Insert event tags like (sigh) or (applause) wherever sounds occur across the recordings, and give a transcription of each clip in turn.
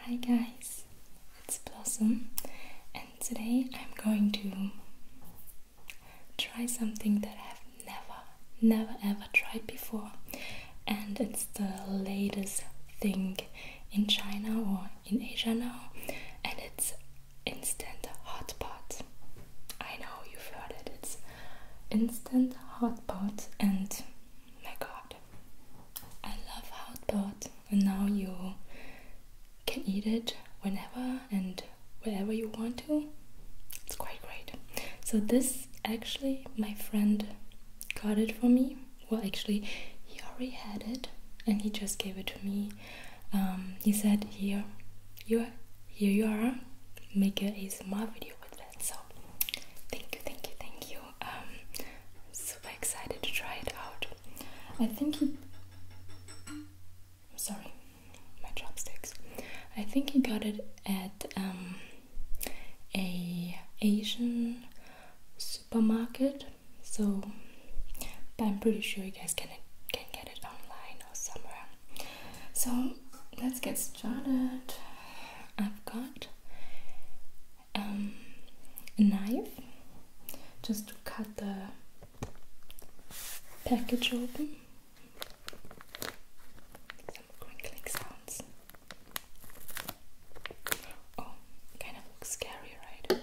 Hi guys, it's Blossom and today I'm going to try something that I've never, never ever tried before and it's the latest thing in China or in Asia now and it's instant hot pot. I know you've heard it, it's instant hot pot and my god I love hotpot and now you can eat it whenever and wherever you want to. It's quite great. So this actually my friend got it for me. Well actually he already had it and he just gave it to me. Um, he said here you here you are make a ASMR video with so thank you, thank you, thank you. Um, I'm super excited to try it out. I think he. I'm sorry, my chopsticks. I think he got it at um, a Asian supermarket. So, I'm pretty sure you guys can can get it online or somewhere. So let's get started. I've got um, a knife just to cut the package open. Some crinkling sounds. Oh, kind of looks scary, right?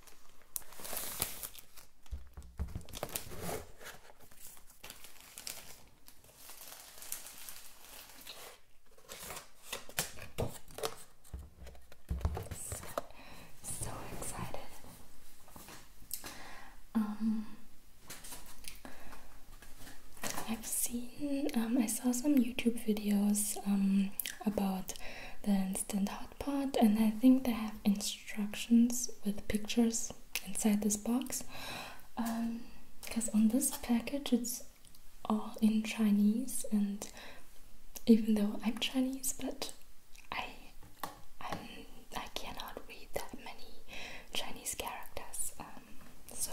So, excited. Um, I've seen, um, I saw some YouTube videos um, about the instant hot pot and I think they have instructions with pictures inside this box because um, on this package it's all in Chinese and even though I'm Chinese but I i I cannot read that many Chinese characters um, so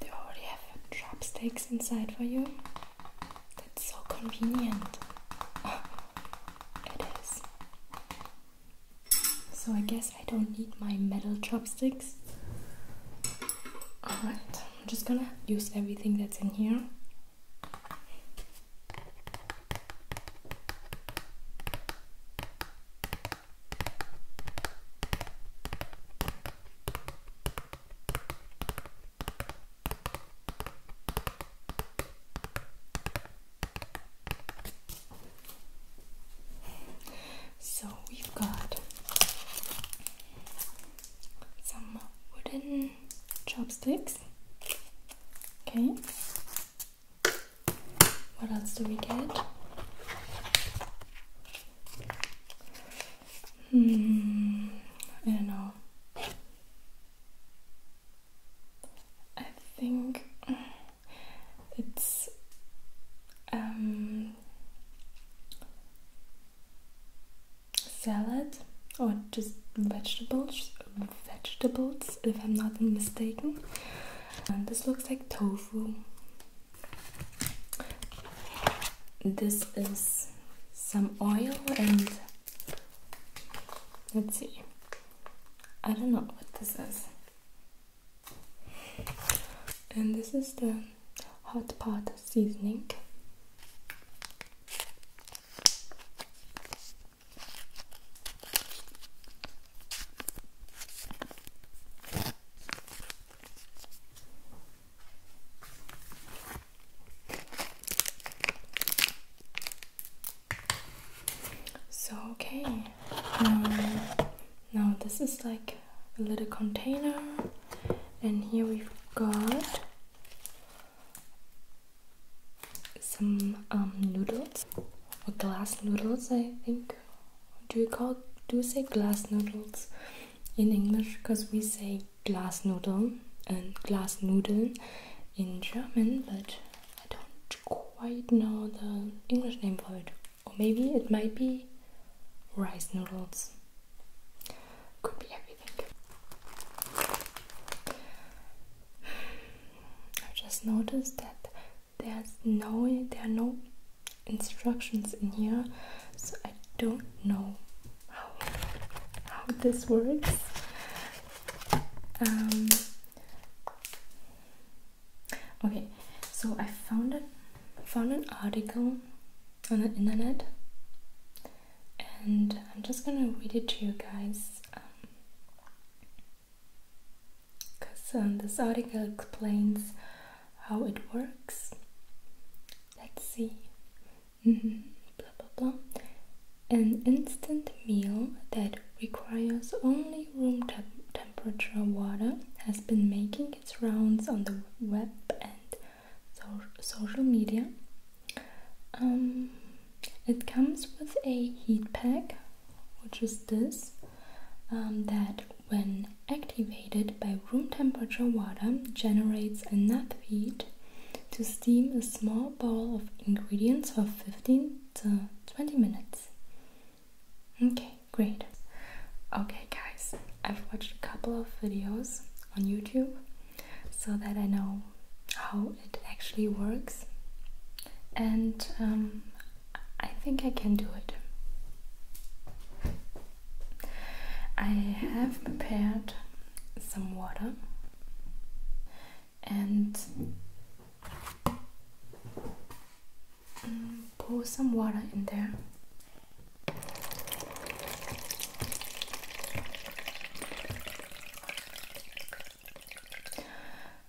They already have chopsticks inside for you. That's so convenient. it is. So I guess I don't need my metal chopsticks. Alright, I'm just gonna use everything that's in here. So we've got some wooden chopsticks. Okay, what else do we get? Hmm, I don't know. I think it's um, salad or just vegetables, vegetables if I'm not mistaken this looks like tofu. This is some oil and let's see. I don't know what this is. And this is the hot pot seasoning. So okay, um, now this is like a little container, and here we've got some um, noodles, or glass noodles, I think do we call do you say glass noodles in English? Because we say glass noodle and glass noodle in German, but I don't quite know the English name for it. Or maybe it might be rice noodles. Could be everything. I (sighs) just noticed that there's no there are no instructions in here so I don't know how, how this works um, okay so I found it found an article on the internet and I'm just gonna read it to you guys um, because um, this article explains how it works. Let's see. Mm-hmm. Blah blah blah. An instant meal that requires only room temperature water has been making its rounds on the web and so social media. Um, it comes with a heat pack, which is this. Um, that when activated by room temperature water generates enough heat to steam a small bowl of ingredients for 15 to 20 minutes. Okay, great. Okay, guys, I've watched a couple of videos on YouTube so that I know how it actually works, and um, I think I can do it. I have prepared some water and mm, pour some water in there.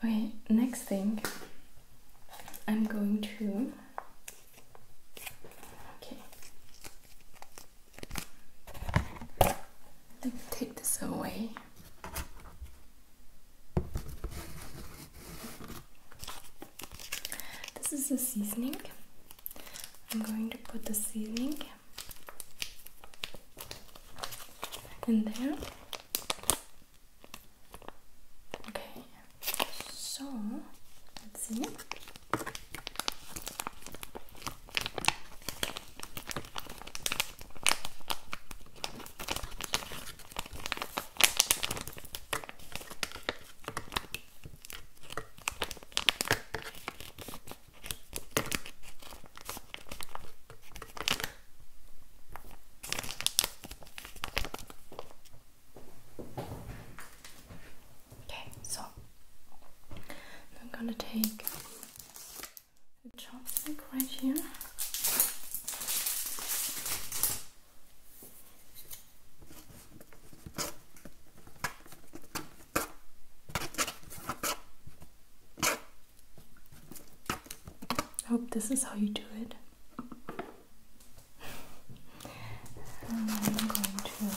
Okay, next thing I'm going to okay. Let me take this away. This is the seasoning. I'm going to put the seasoning in there Okay, so let's see. Okay, so I'm gonna take a chopstick right here. I hope this is how you do it. I'm going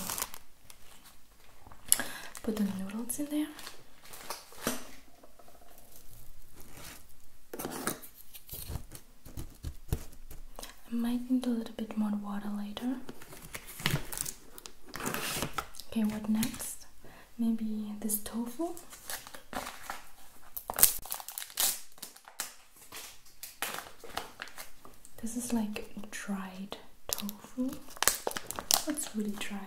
to put the noodles in there. I might need a little bit more water later. Okay, what next? Maybe this tofu. This is like dried tofu. It's really dry.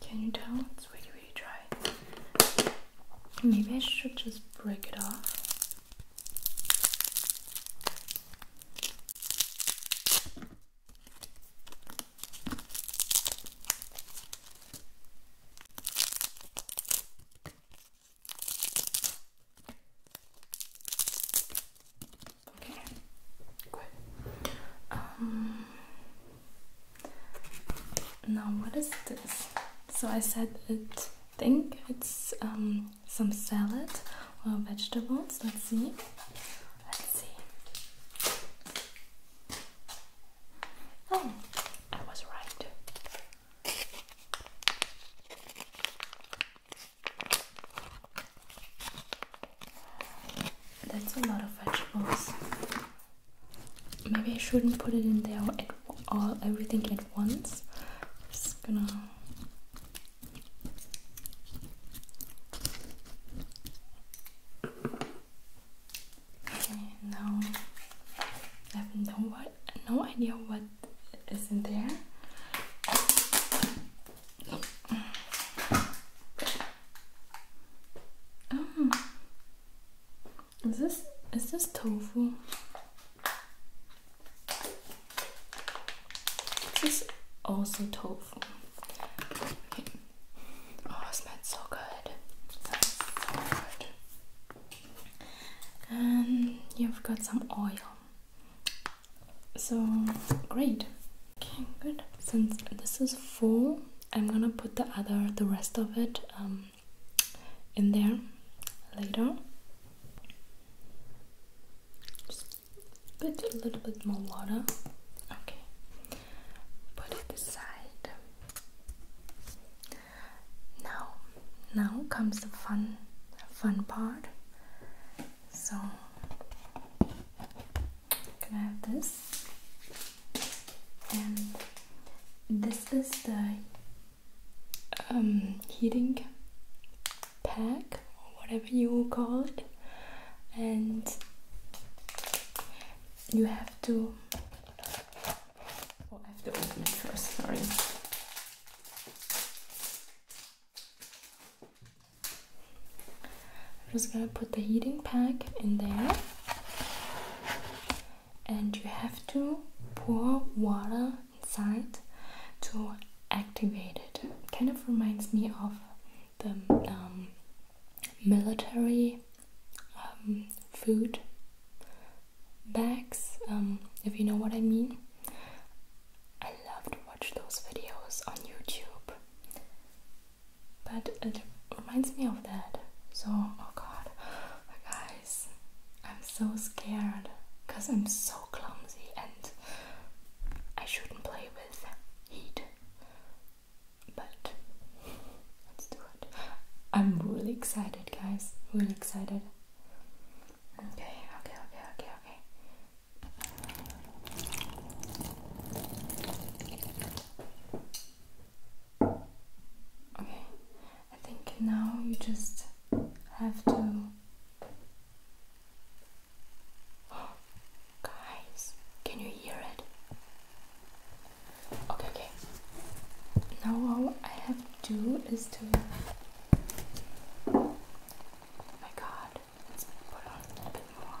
Can you tell? It's really, really dry. Maybe I should just break it off. Okay, good. Um, now, what is this? So I said it. Think it's um, some salad or vegetables. Let's see. Let's see. Oh, I was right. That's a lot of vegetables. Maybe I shouldn't put it in there all everything at once. Just gonna Okay, now I have no what no idea what is in there. Oh. Is this is this tofu? This is also tofu. Oh, smells so good. And you've got some oil. So great. Okay, good. Since this is full, I'm gonna put the other, the rest of it, um, in there later. put a little bit more water. Okay, put it aside. Now, now comes the fun, fun part. So, can I have this? And this is the um, heating pack or whatever you call it and you have to oh, I have to open it first sorry I'm just gonna put the heating pack in there and you have to pour water inside to activate it. Kind of reminds me of the um, military um, food bags, um, if you know what I mean. I love to watch those videos on YouTube, but it reminds me of that. So, oh god, oh guys, I'm so scared because I'm so clumsy and I shouldn't play with heat. But let's do it. I'm really excited, guys. Really excited. Okay, okay, okay, okay, okay. Okay, I think now you just have to. (gasps) guys, can you hear it? Okay, okay. Now all I have to do is to. my God, let's put on a bit more.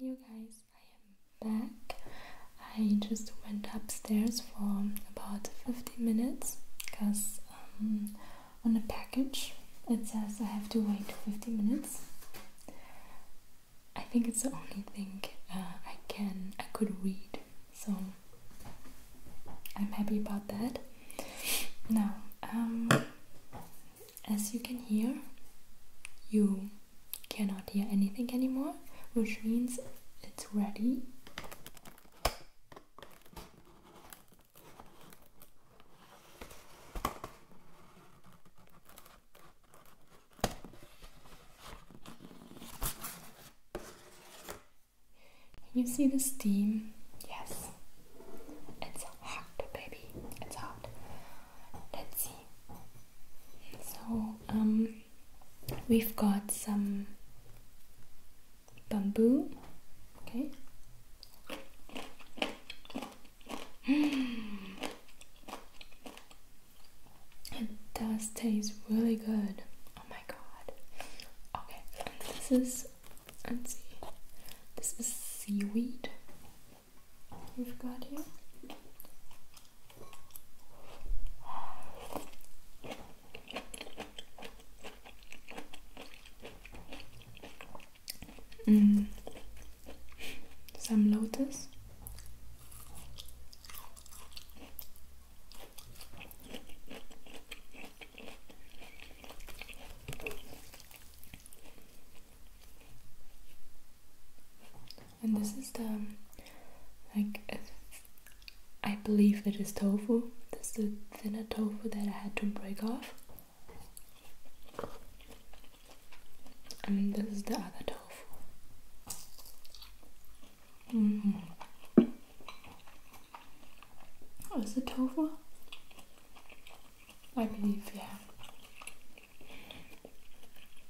Hey you guys, I am back. I just went upstairs for about 50 minutes because um, on the package it says I have to wait 50 minutes. I think it's the only thing uh, I can I could read, so I'm happy about that. Now, um, as you can hear, you cannot hear anything anymore, which means it's ready. You see the steam? Yes. It's hot, baby. It's hot let's see. So um, we've got some bamboo. Okay. It does taste really good. Oh my god. Okay, this is let's see. This is seaweed we've got here. Mm. Some lotus and this is the like I believe it is tofu. This is the thinner tofu that I had to break off. And this is the other tofu. Mm -hmm. Is it tofu? I believe, yeah.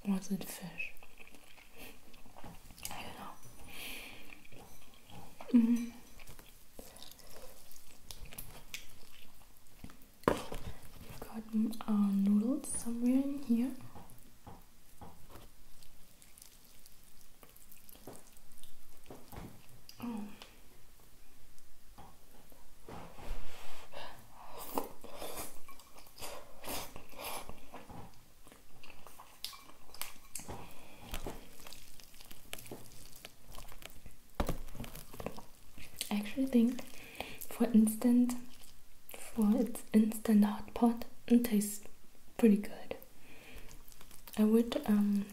Was it fish? I don't know. We've mm-hmm. got uh, noodles somewhere in here. Um. I actually think, for instant, for its instant hot pot, it tastes pretty good. I would um,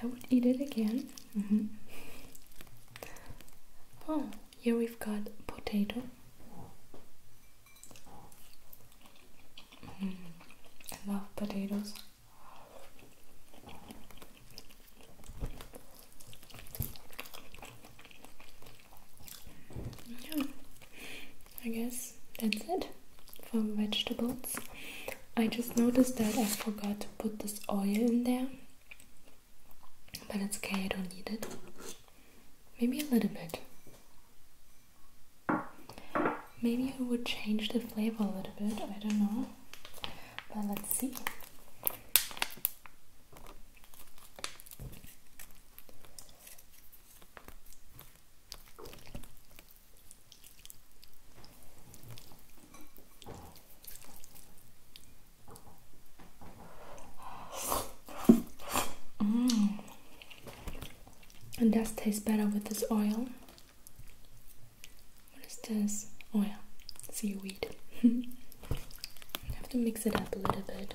I would eat it again. Mm-hmm. Oh. Here we've got potato. Mm, I love potatoes. Yeah, hmm, I guess that's it for vegetables. I just noticed that I forgot to put this oil in there but it's okay, I don't need it. Maybe a little bit. Maybe it would change the flavor a little bit, I don't know. But let's see. Mm. And does taste better with this oil. What is this? Oh yeah, seaweed. I (laughs) have to mix it up a little bit.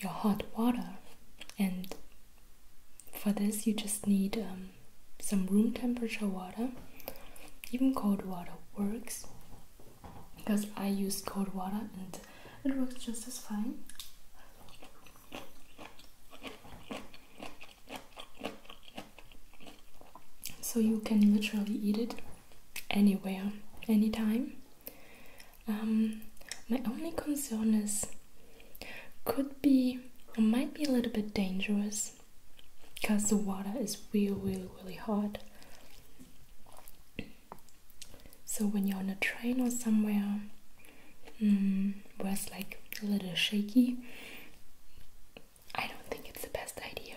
your hot water and for this you just need um, some room temperature water even cold water works because I use cold water and it works just as fine so you can literally eat it anywhere anytime um, my only concern is could be or might be a little bit dangerous because the water is really, really, really hot. So when you're on a train or somewhere mm, where it's like a little shaky, I don't think it's the best idea.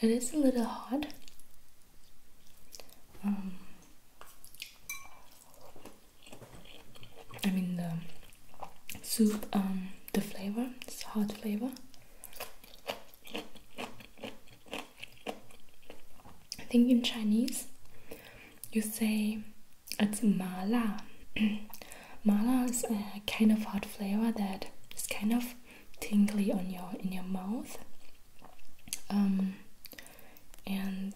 It is a little hot. Um, I mean the soup, um, the flavor, it's hot flavor. I think in Chinese you say it's mala. (clears throat) mala is a kind of hot flavor that is kind of tingly on your in your mouth. Um, and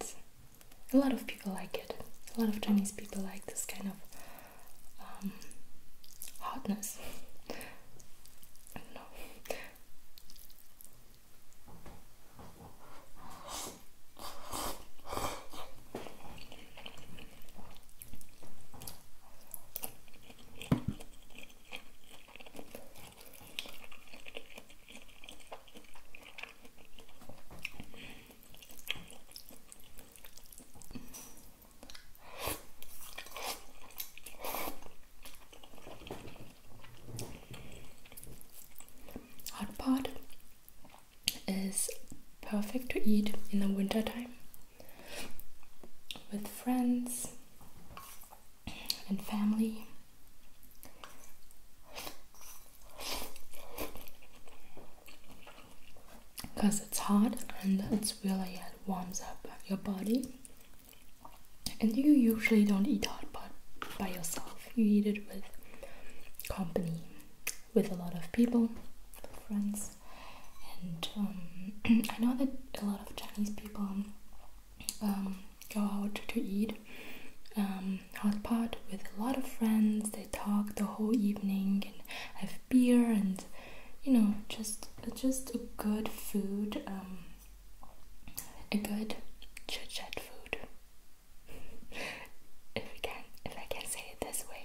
a lot of people like it. A lot of Chinese people like this kind of um, hotness. Hot pot is perfect to eat in the winter time with friends and family. Because it's hot and it's really it warms up your body. And you usually don't eat hot pot by yourself. You eat it with company, with a lot of people, friends. And um, (clears throat) I know that a lot of Chinese people um, go out to eat um, hot pot with a lot of friends. They talk the whole evening and have beer and you know just just a good food, a good chit chat food. (laughs) if we can, if I can say it this way.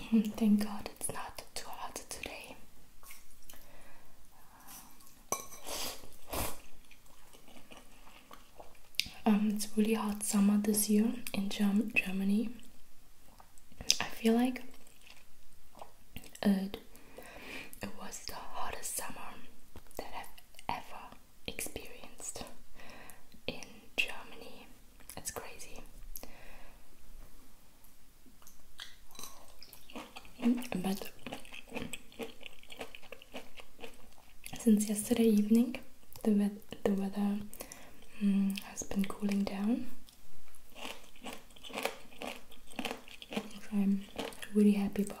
Hmm, thank God it's not too hot today. Um, it's really hot summer this year in Germ Germany. I feel like it, it was the hottest summer that I've ever experienced in Germany. That's crazy. But since yesterday evening, the, we the weather mm, has been cooling down. I'm really happy about.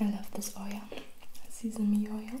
I love this oil, sesame oil.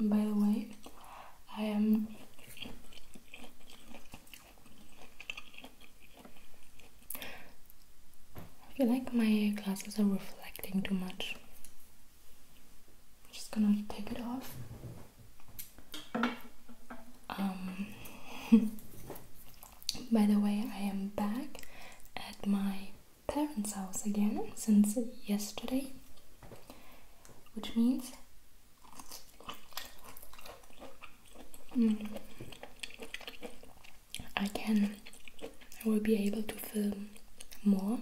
By the way, I am I feel like my glasses are reflecting too much. I'm just gonna take it off. Um, (laughs) by the way, I am back at my parents' house again since yesterday, which means hmm, I can, I will be able to film more.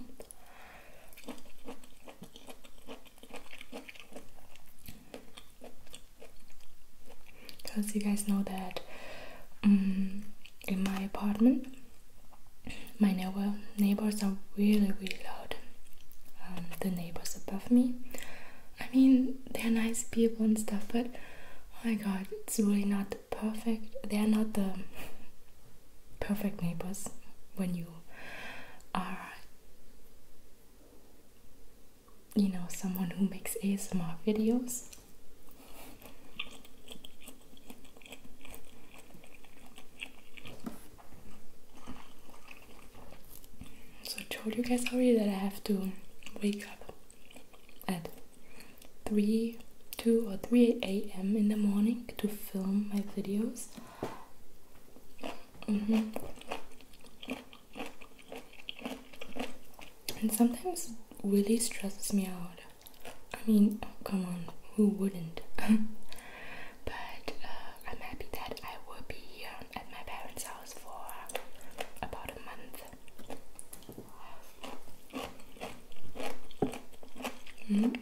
Because you guys know that hmm, in my apartment. My neighbor neighbors are really really loud. Um, the neighbors above me. I mean, they're nice people and stuff, but oh my god, it's really not perfect. They are not the perfect neighbors when you are, you know, someone who makes ASMR videos. So I told you guys already that I have to wake up at 3, 2 or 3 a.m. in the morning to film my videos. Mm-hmm. And sometimes it really stresses me out. I mean, come on, who wouldn't? (laughs) but uh, I'm happy that I will be um, at my parents' house for about a month. Hmm?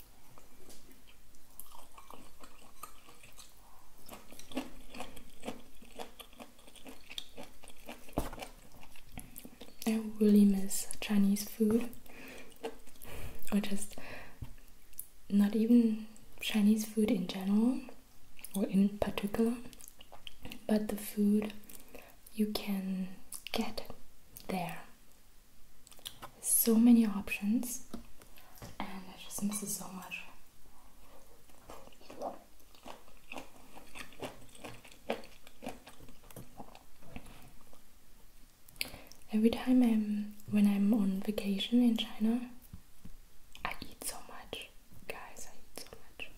I really miss Chinese food, or just not even Chinese food in general or in particular, but the food you can get there so many options and I just miss it so much. Every time I'm when I'm on vacation in China, I eat so much. Guys, I eat so much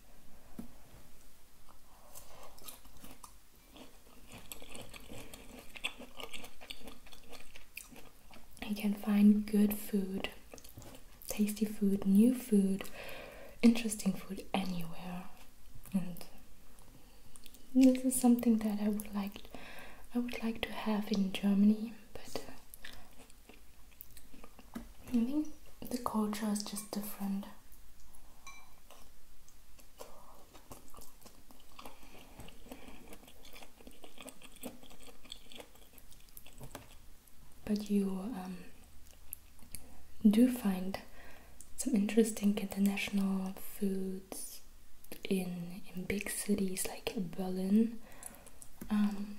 you can find good food, tasty food, new food, interesting food anywhere. And this is something that I would like I would like to have in Germany, but uh, I think the culture is just different. But you um, do find some interesting international foods in in big cities like Berlin. Um,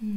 hmm.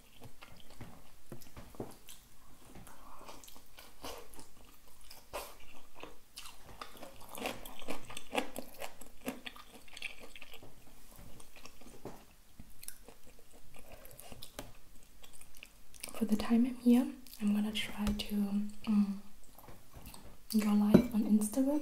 For the time I'm here, I'm gonna try to um, go live on Instagram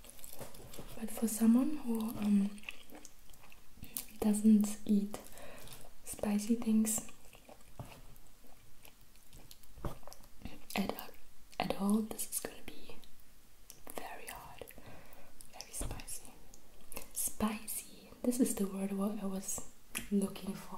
But for someone who um, doesn't eat spicy things at, at all, this is gonna be very hard, very spicy. Spicy, this is the word what I was looking for.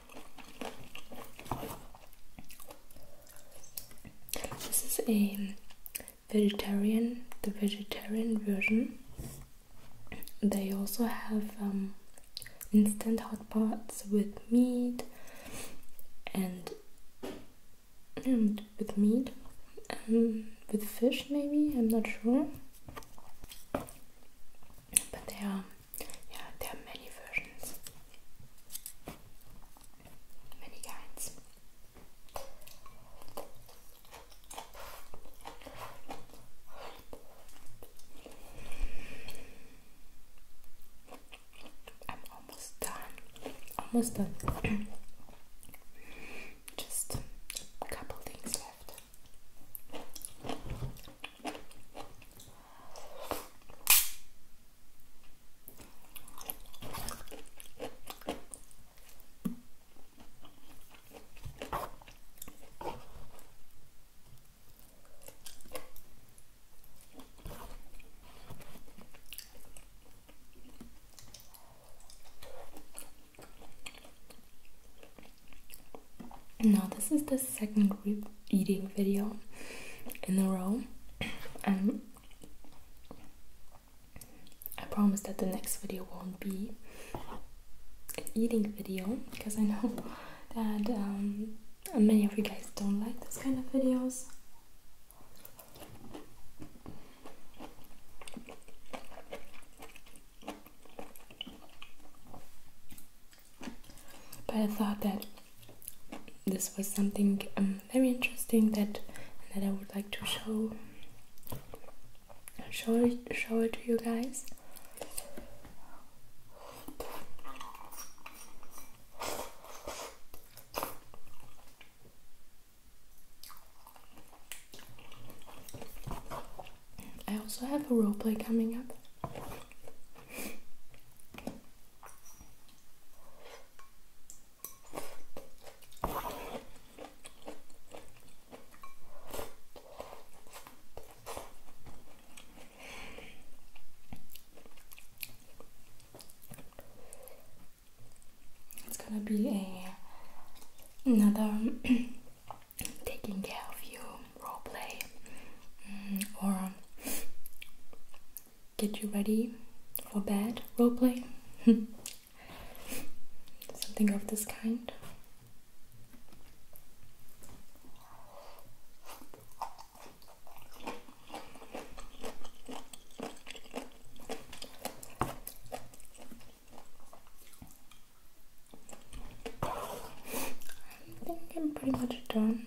This is a vegetarian, the vegetarian version. They also have um, instant hot pots with meat and, and with meat, um, with fish maybe. I'm not sure, but they are yeah, there are many versions, many kinds. I'm almost done. Almost done. (clears throat) Just a couple things left. Now, this is the second group eating video in a row and I promise that the next video won't be an eating video because I know (laughs) that um, many of you guys don't like this kind of videos but I thought that this was something um, very interesting that that I would like to show show show it to you guys. I also have a role play coming up. It's gonna be a another (clears throat) taking care of you role play mm, or get you ready for bed role play. (laughs) Something of this kind. I think I'm pretty much done.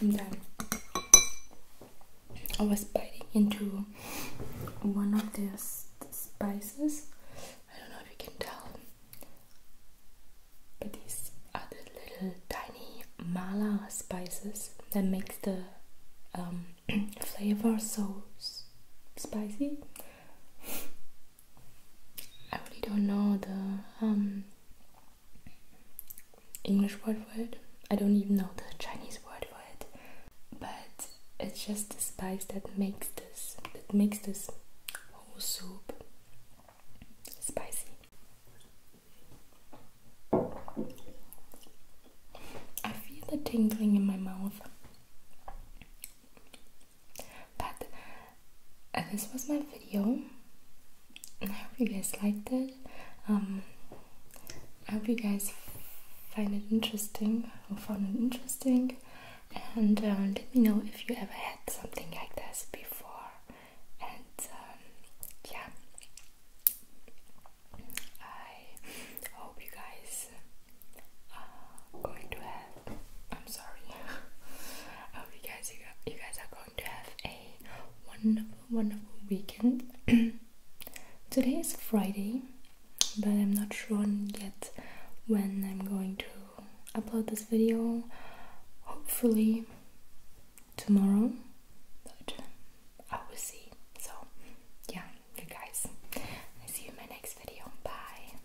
then I was biting into one of the spices. I don't know if you can tell, but these are the little tiny mala spices that makes the um, (clears throat) flavor so spicy. I really don't know the um, English word for it. I don't even know the Chinese word for it, but it's just the spice that makes this that makes this whole soup spicy. I feel the tingling in my mouth. But uh, this was my video. I hope you guys liked it. Um, I hope you guys find it interesting or found it interesting. And uh, let me know if you ever had something like this before. And um, yeah, I hope you guys are going to have I'm sorry. (laughs) I you guys, you guys are going to have a wonderful, wonderful weekend. (clears throat) Today is Friday, but I'm not sure yet when I'm going to upload this video. Hopefully tomorrow, but I will see. So, yeah, you guys, I see you in my next video. Bye.